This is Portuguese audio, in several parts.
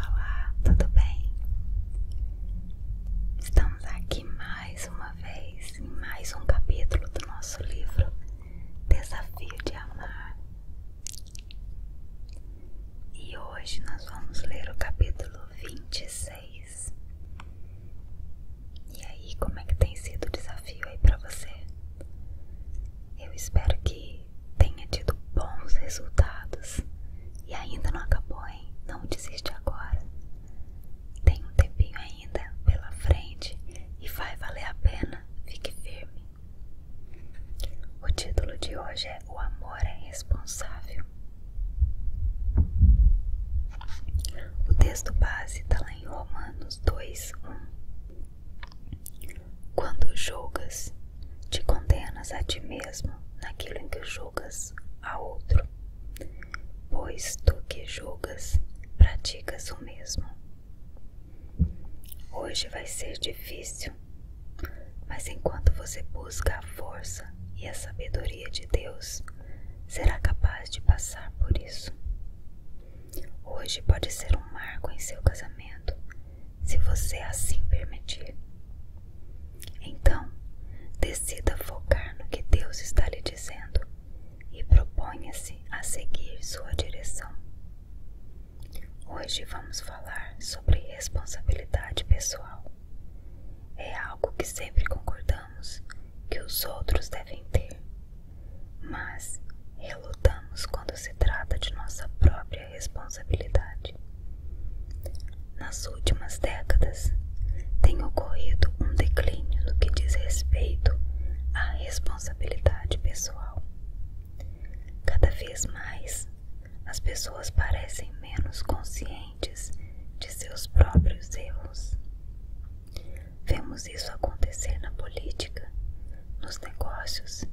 Olá, tudo bem? Estamos aqui mais uma vez em mais um capítulo do nosso livro Desafio de Amar. E hoje nós vamos ler o capítulo 26. E aí, como é que tem sido o desafio aí para você? Eu espero que tenha tido bons resultados e ainda não acabou, hein? Não desiste agora. Tem um tempinho ainda pela frente e vai valer a pena. Fique firme. O título de hoje é O Amor é Responsável. O texto base está lá em Romanos 2, 1. Quando julgas, te condenas a ti mesmo naquilo em que julgas a outro, pois tu que julgas, praticas o mesmo. Hoje vai ser difícil, mas enquanto você busca a força e a sabedoria de Deus, será capaz de passar por isso. Hoje pode ser um marco em seu casamento se você assim permitir. Então, decida focar no que Deus está lhe dizendo e proponha-se a seguir sua direção. Hoje vamos falar sobre responsabilidade pessoal. É algo que sempre concordamos que os outros devem ter, mas relutamos quando se trata de nossa própria responsabilidade. Nas últimas décadas, tem ocorrido um declínio no que diz respeito à responsabilidade pessoal. Cada vez mais, as pessoas parecem menos conscientes de seus próprios erros. Vemos isso acontecer na política, nos negócios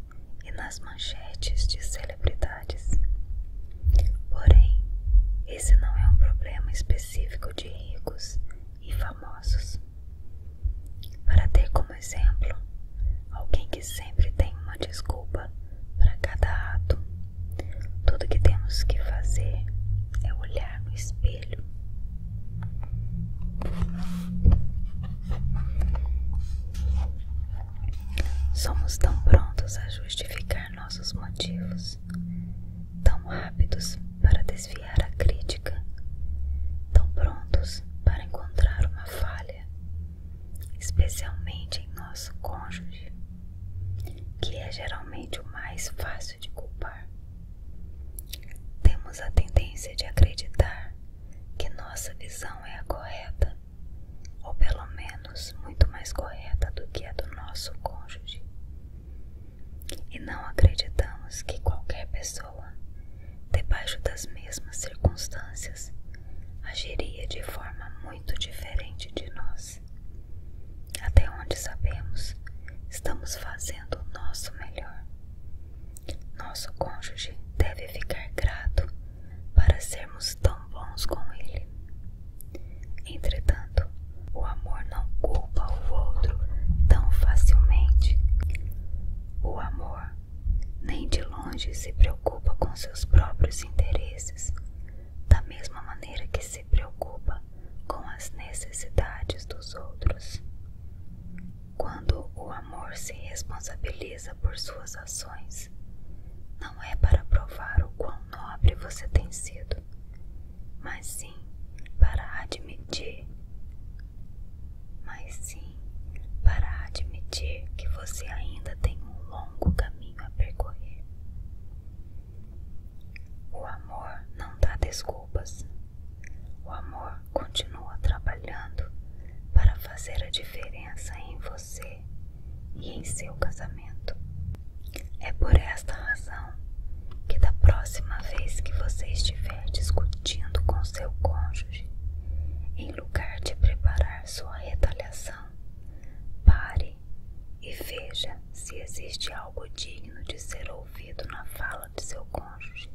e nas manchetes de celebridades. Porém, esse não é um problema específico de ricos e famosos. Para ter como exemplo alguém que sempre tem uma desculpa para cada ato, tudo que temos que fazer é olhar no espelho. Somos tão prontos a justificar nossos motivos, tão rápidos para desviar a crítica, tão prontos para encontrar uma falha, especialmente em nosso cônjuge, que é geralmente o mais fácil de culpar. Temos a tendência de acreditar que nossa visão é a correta ou pelo menos muito mais correta do que a do nosso cônjuge. E não acreditamos que qualquer pessoa, debaixo das mesmas circunstâncias, agiria de forma muito diferente de nós. Até onde sabemos, estamos fazendo o nosso melhor. Nosso cônjuge deve ficar grato para sermos tão bons com ele. Entretanto, o amor não culpa o outro tão facilmente. O amor nem de longe se preocupa com seus próprios interesses, da mesma maneira que se preocupa com as necessidades dos outros. Quando o amor se responsabiliza por suas ações, não é para provar o quão nobre você tem sido, mas sim para admitir, mas sim para admitir que você ainda tem um longo caminho a percorrer. O amor não dá desculpas. O amor continua trabalhando para fazer a diferença em você e em seu casamento. É por esta razão que, da próxima vez que você estiver discutindo com seu cônjuge, em lugar de preparar sua retaliação, pare e veja se existe algo digno de ser ouvido na fala de seu cônjuge.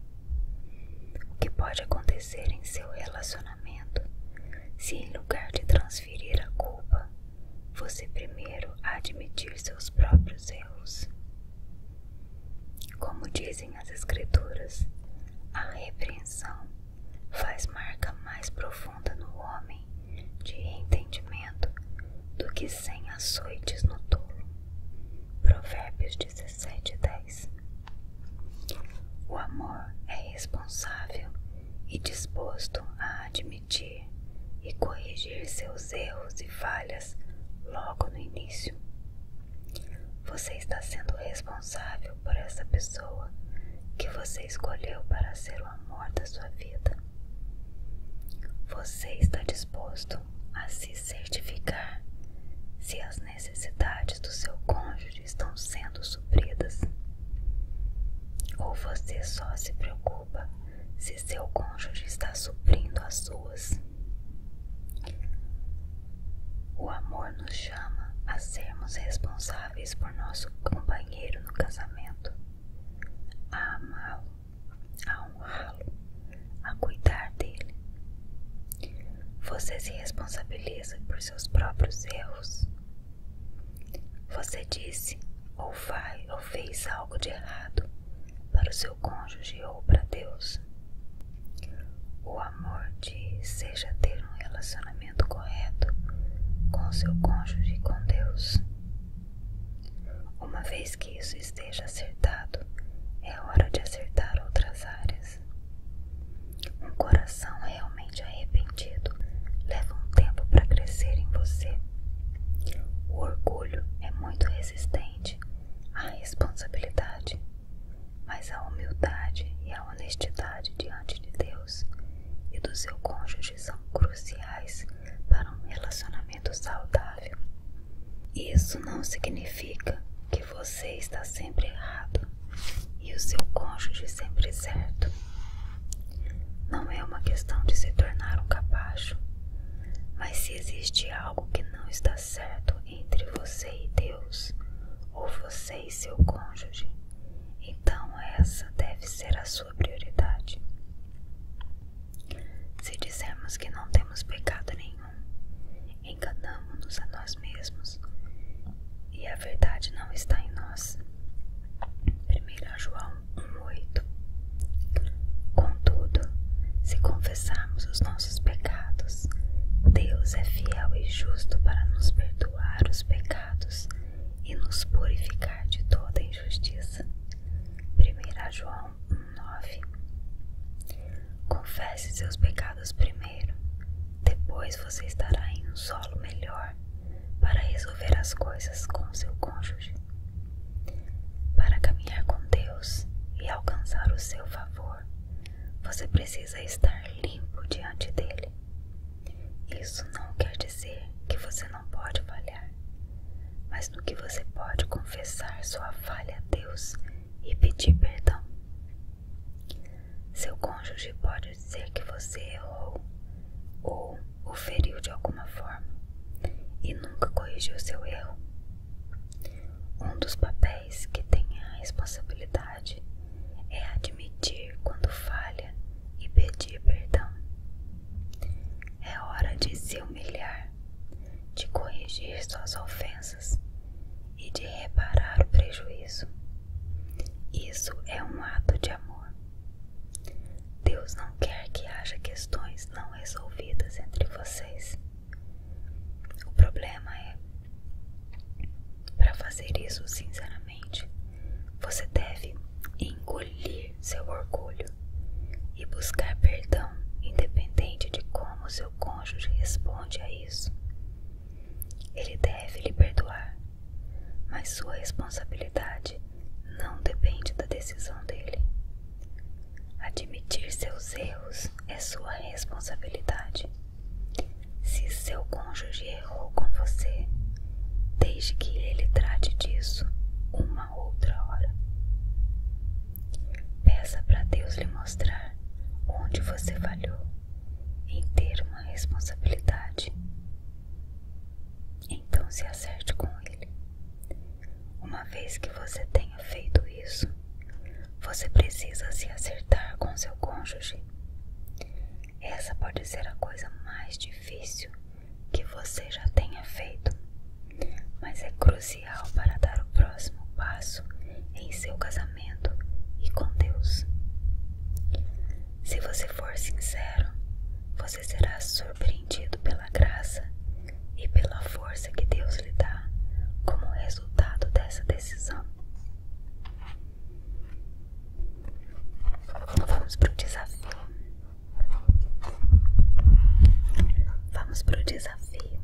O que pode acontecer em seu relacionamento? se em lugar de transferir a culpa, você primeiro admitir seus próprios erros. Como dizem as Escrituras, a repreensão faz marca mais profunda no homem de entendimento do que sem açoites no tolo. Provérbios 17, 10. O amor é responsável e disposto a admitir e corrigir seus erros e falhas logo no início. Você está sendo responsável por essa pessoa que você escolheu para ser o amor da sua vida. Você está disposto a se certificar se as necessidades do seu cônjuge estão sendo supridas? Ou você só se preocupa se seu cônjuge está suprindo as suas? O amor nos chama a sermos responsáveis por nosso companheiro no casamento, a amá-lo, a honrá-lo, a cuidar dele. Você se responsabiliza por seus próprios erros, você disse ou faz ou fez algo de errado para o seu cônjuge ou para Deus. O amor de deseja ter um relacionamento correto com o seu cônjuge e com Deus. Uma vez que isso esteja acertado, é hora de acertar outras áreas. Um coração realmente arrependido leva um tempo para crescer em você. O orgulho é muito resistente à responsabilidade, mas a humildade e a honestidade diante de Deus e do seu cônjuge são cruciais para um relacionamento saudável. Isso não significa que você está sempre errado, e o seu cônjuge sempre certo. Não é uma questão de se tornar um capacho, mas se existe algo que não está certo entre você e Deus, ou você e seu cônjuge, então essa deve ser a sua prioridade. Se dissermos que não temos pecado nenhum, enganamos-nos a nós mesmos e a verdade não está em nós. 1 João 1,8 Contudo, se confessarmos os nossos pecados, Deus é fiel e justo para nos perdoar os pecados e nos purificar de toda injustiça. 1 João 1,9 Confesse seus pecados primeiro depois você estará em um solo melhor para resolver as coisas com seu cônjuge. Para caminhar com Deus e alcançar o seu favor, você precisa estar limpo diante dele. Isso não quer dizer que você não pode falhar, mas no que você pode confessar sua falha a Deus e pedir perdão. Seu cônjuge pode ser que você errou ou o feriu de alguma forma e nunca corrigiu seu erro. Um dos papéis que tem a responsabilidade é admitir quando falha e pedir perdão. É hora de se humilhar, de corrigir suas ofensas e de reparar o prejuízo isso é um ato de amor. Deus não quer que haja questões não resolvidas entre vocês. O problema é, para fazer isso sinceramente, você deve engolir seu orgulho e buscar perdão, independente de como seu cônjuge responde a isso. Ele deve lhe perdoar mas sua responsabilidade não depende da decisão dele. Admitir seus erros é sua responsabilidade. Se seu cônjuge errou com você, desde que ele trate disso uma outra hora. Peça para Deus lhe mostrar onde você falhou em ter uma responsabilidade então se acerte com ele. Uma vez que você tenha feito isso, você precisa se acertar com seu cônjuge. Essa pode ser a coisa mais difícil que você já tenha feito, mas é crucial para dar o próximo passo em seu casamento e com Deus. Se você for sincero, você será surpreendido pela graça e pela força que Deus lhe dá como resultado dessa decisão. Vamos para o desafio. Vamos para o desafio.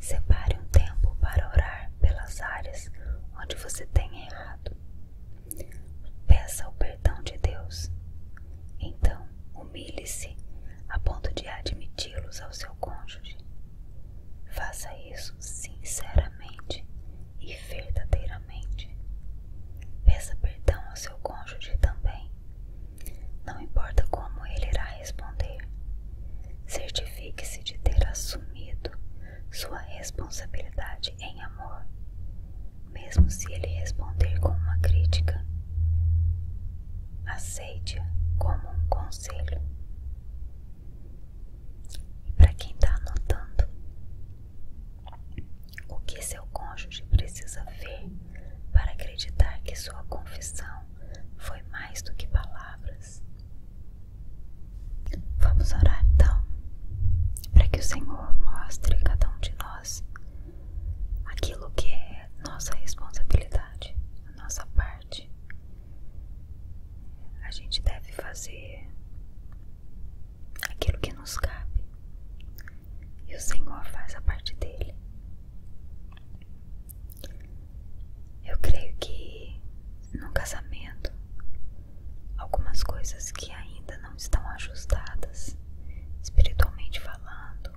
Separe um tempo para orar pelas áreas onde você tem errado. Peça o perdão de Deus. Então, humilhe-se a ponto de admiti-los ao seu cônjuge. Faça isso sinceramente e verdadeiramente. Peça perdão ao seu cônjuge também. Não importa como ele irá responder. Certifique-se de ter assumido sua responsabilidade em amor, mesmo se ele responder com uma crítica. aceite como um conselho. E para quem está anotando, o que seu cônjuge precisa ver para acreditar que sua confissão foi mais do que palavras? Vamos orar então, para que o Senhor mostre a cada um de nós aquilo que é nossa responsabilidade, a nossa parte. A gente deve fazer aquilo que nos cabe e o Senhor faz a parte dele. Eu creio que no casamento, algumas coisas que ainda não estão ajustadas, espiritualmente falando,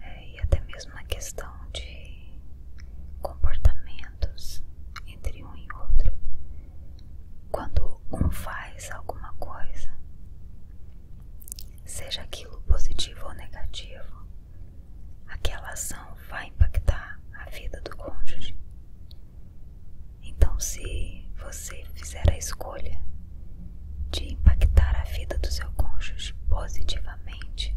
é, e até mesmo na questão de comportamentos entre um e outro. Quando um faz alguma coisa, seja aquilo positivo ou negativo, aquela ação vai impactar a vida do cônjuge. Então, se você fizer a escolha de impactar a vida do seu cônjuge positivamente,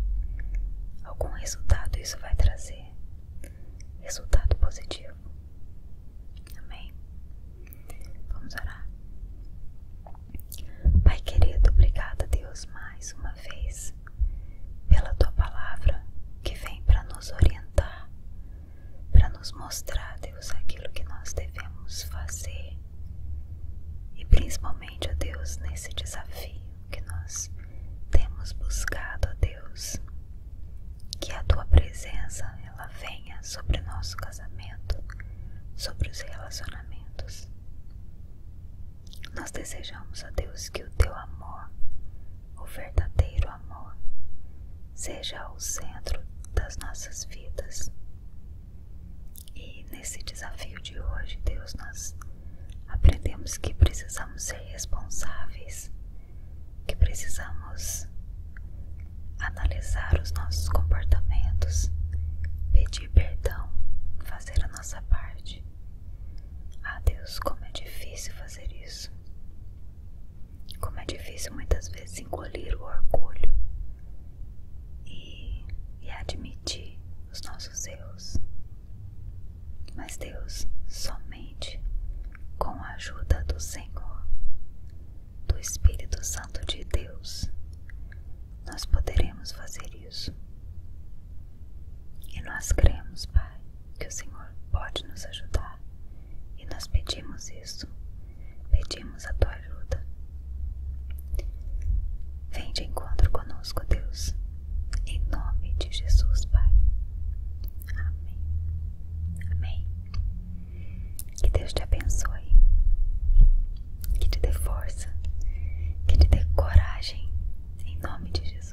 algum resultado isso vai trazer. Resultado positivo. Amém? Vamos orar. Pai querido, obrigada, a Deus, mais uma vez pela tua palavra que vem para nos orientar, para nos mostrar, a Deus, aquilo que nós devemos fazer. E principalmente, a Deus, nesse desafio que nós temos buscado, a Deus, que a tua presença ela venha sobre o nosso casamento, sobre os relacionamentos. Nós desejamos, a Deus, que o teu amor o verdadeiro amor seja o centro das nossas vidas. E nesse desafio de hoje, Deus, nós aprendemos que precisamos ser responsáveis, que precisamos analisar os nossos comportamentos, pedir perdão, fazer a nossa parte. Ah, Deus, como é difícil fazer isso. Como é difícil muitas vezes engolir o orgulho e, admitir os nossos erros. Mas Deus, somente com a ajuda do Senhor, do Espírito Santo de Deus, nós poderemos fazer isso. E nós cremos, Pai, que o Senhor pode nos ajudar e nós pedimos isso, pedimos a tua ajuda. Vem de encontro conosco, Deus, em nome de Jesus, Pai. Amém. Amém. Que Deus te abençoe, que te dê força, que te dê coragem, em nome de Jesus.